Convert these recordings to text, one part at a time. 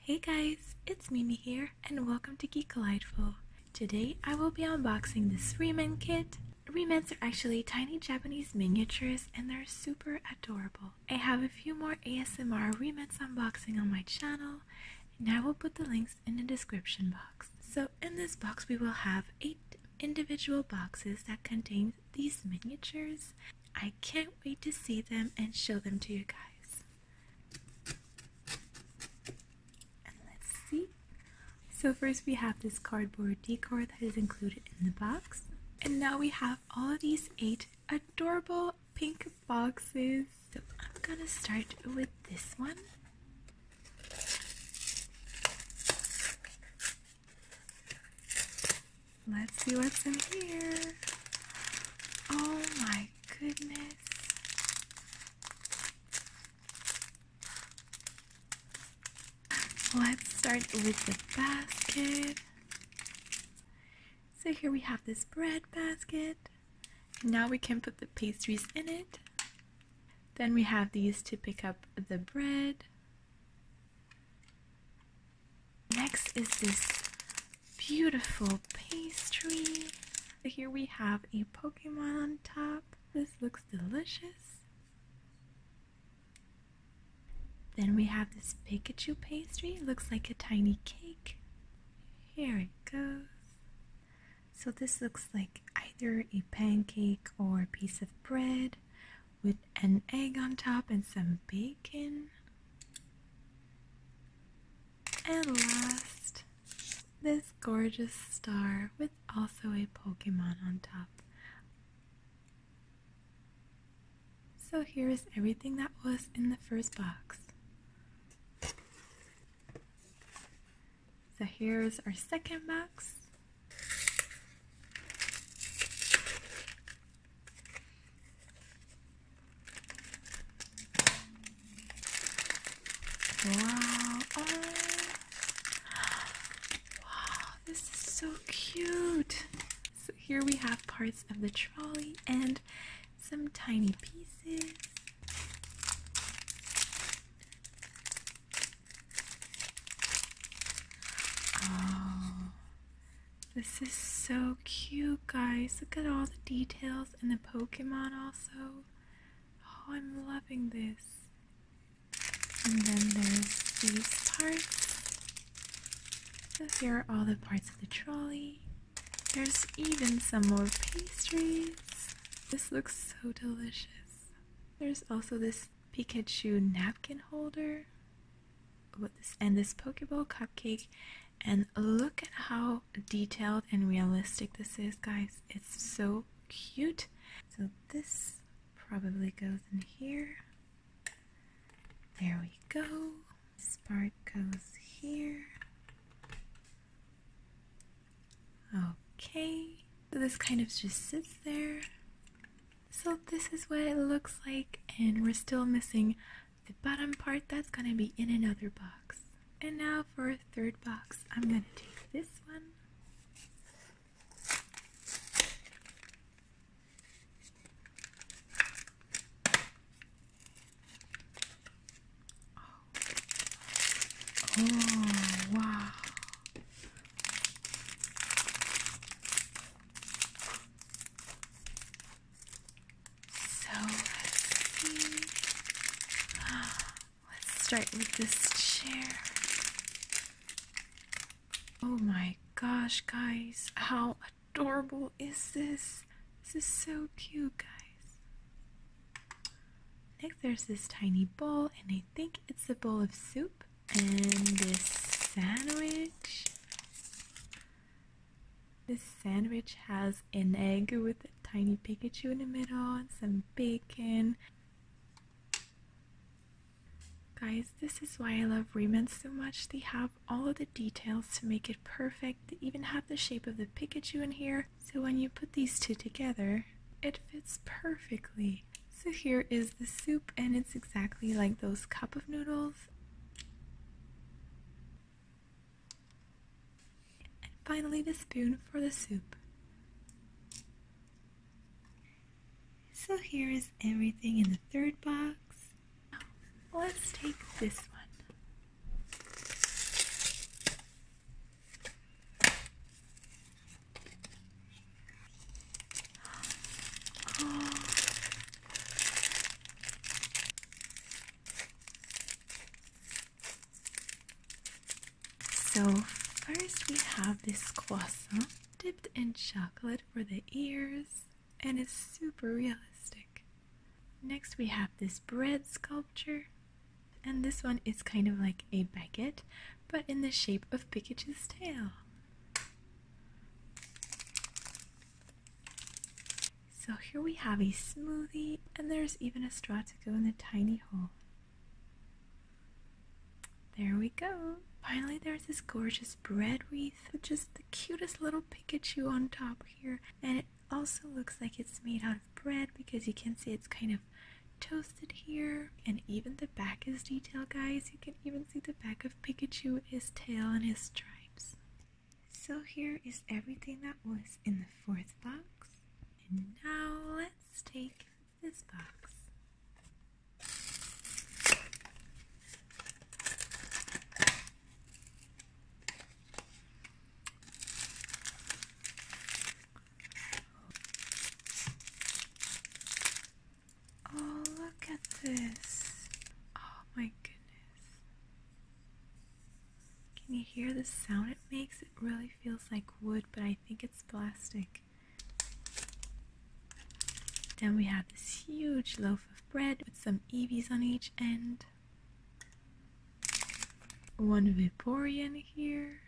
Hey guys, it's Mimi here and welcome to Geek Delightful. Today I will be unboxing this Remen kit. Remens are actually tiny Japanese miniatures and they're super adorable. I have a few more ASMR Remens unboxing on my channel and I will put the links in the description box. So in this box we will have 8 individual boxes that contain these miniatures. I can't wait to see them and show them to you guys let's see. So first we have this cardboard decor that is included in the box. And now we have all these eight adorable pink boxes. So I'm gonna start with this one. Let's see what's in here. Oh my goodness. Let's start with the basket. So here we have this bread basket. Now we can put the pastries in it. Then we have these to pick up the bread. Next is this beautiful pastry. Here we have a Pokemon on top. This looks delicious. Then we have this Pikachu pastry. Looks like a tiny cake. Here it goes. So this looks like either a pancake or a piece of bread with an egg on top and some bacon. And last, this gorgeous star with also a Pokemon on top. So here is everything that was in the first box. So here's our second box. Wow. Oh. Wow, this is so cute. So here we have parts of the trolley and some tiny pieces. Oh, this is so cute, guys. Look at all the details and the Pokemon also. Oh, I'm loving this. And then there's these parts. So here are all the parts of the trolley. There's even some more pastries. This looks so delicious. There's also this Pikachu napkin holder with this and this Pokeball cupcake. And look at how detailed and realistic this is, guys. It's so cute. So this probably goes in here. There we go. This goes here. Okay. So this kind of just sits there. So this is what it looks like and we're still missing the bottom part that's going to be in another box. And now for a third box, I'm going to take this one. Oh, oh wow. So let's start with this chair. Oh my gosh, guys, how adorable is this? This is so cute, guys. Next, there's this tiny bowl, and I think it's a bowl of soup and this sandwich. This sandwich has an egg with a tiny Pikachu in the middle and some bacon. Guys, this is why I love Riemann so much. They have all of the details to make it perfect. They even have the shape of the Pikachu in here. So when you put these two together, it fits perfectly. So here is the soup and it's exactly like those cup of noodles. And finally the spoon for the soup. So here is everything in the third box. Let's take this one. So, first we have this croissant dipped in chocolate for the ears, and it's super realistic. Next, we have this bread sculpture, and this one is kind of like a baguette, but in the shape of Pikachu's tail. So here we have a smoothie, and there's even a straw to go in the tiny hole. There we go. Finally, there's this gorgeous bread wreath with just the cutest little Pikachu on top here. And it also looks like it's made out of bread because you can see it's kind of toasted here. And even the back is detailed, guys. You can even see the back of Pikachu, his tail, and his stripes. So here is everything that was in the fourth box. And now let's take this box. Oh, look at this. Oh my goodness. Can you hear the sound it makes? It really feels like wood, but I think it's plastic. Then we have this huge loaf of bread with some Eevees on each end. One Viporian here.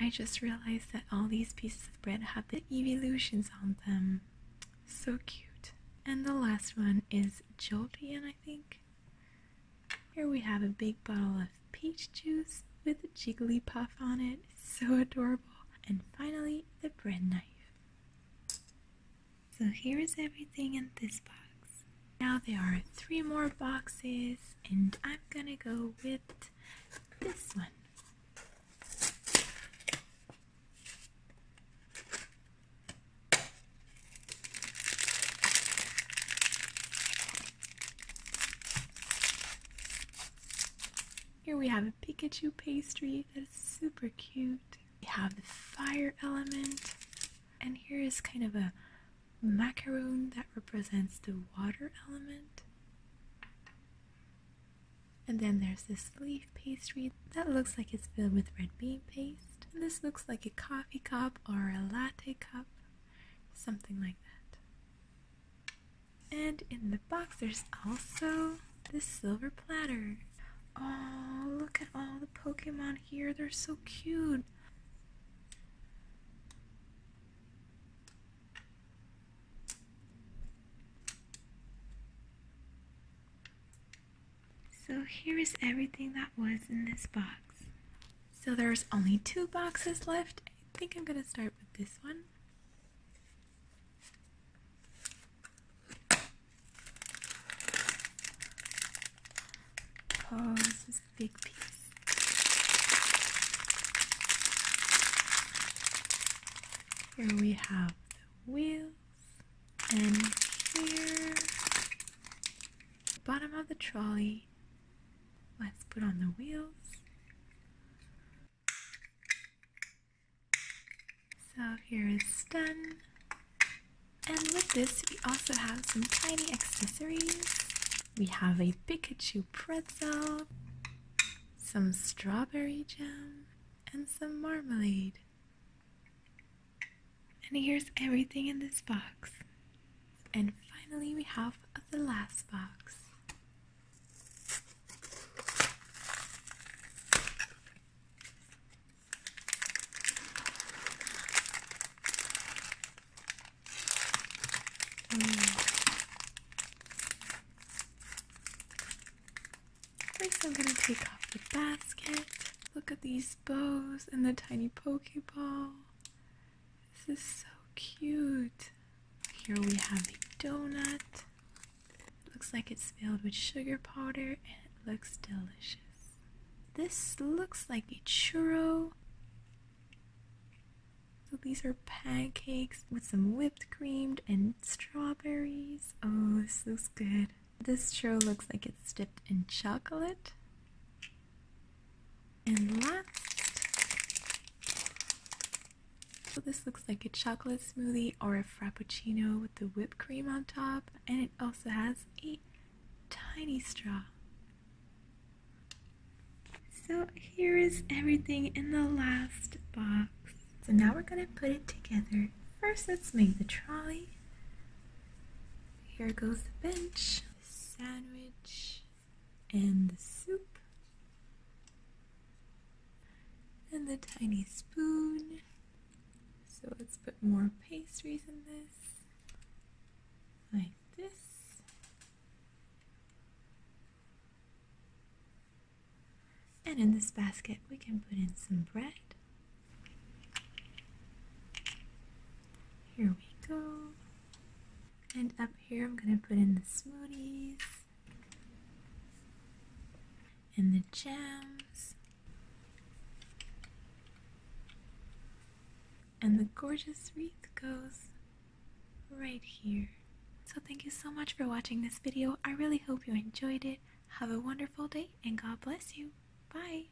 I just realized that all these pieces of bread have the evolutions on them. So cute. And the last one is Jolteon, I think. Here we have a big bottle of peach juice with a Jigglypuff on it. So adorable. And finally, the bread knife. So here is everything in this box. Now there are three more boxes, and I'm gonna go with this one. Here we have a Pikachu pastry that is super cute. We have the fire element, and here is kind of a macaroon that represents the water element. And then there's this leaf pastry that looks like it's filled with red bean paste. And this looks like a coffee cup or a latte cup, something like that. And in the box, there's also this silver platter. Oh, look at all the Pokemon here. They're so cute. So here is everything that was in this box. So there's only two boxes left. I think I'm going to start with this one. Oh, this is a big piece. Here we have the wheels, and here, the bottom of the trolley. Let's put on the wheels. So here is done. And with this, we also have some tiny accessories. We have a Pikachu pretzel, some strawberry jam, and some marmalade. And here's everything in this box. And finally, we have the last box. Mm. First, I'm gonna take off the basket. Look at these bows and the tiny Pokeball. This is so cute. Here we have a donut. looks like it's filled with sugar powder and it looks delicious. This looks like a churro. So these are pancakes with some whipped cream and strawberries. Oh, this looks good. This churro looks like it's dipped in chocolate. And last, so this looks like a chocolate smoothie or a frappuccino with the whipped cream on top. And it also has a tiny straw. So here is everything in the last box. So now we're going to put it together. First, let's make the trolley. Here goes the bench, the sandwich, and the soup, and the tiny spoon. So let's put more pastries in this, like this. And in this basket, we can put in some bread. Here we go. And up here, I'm going to put in the smoothies and the gems and the gorgeous wreath goes right here. So thank you so much for watching this video. I really hope you enjoyed it. Have a wonderful day and God bless you. Bye.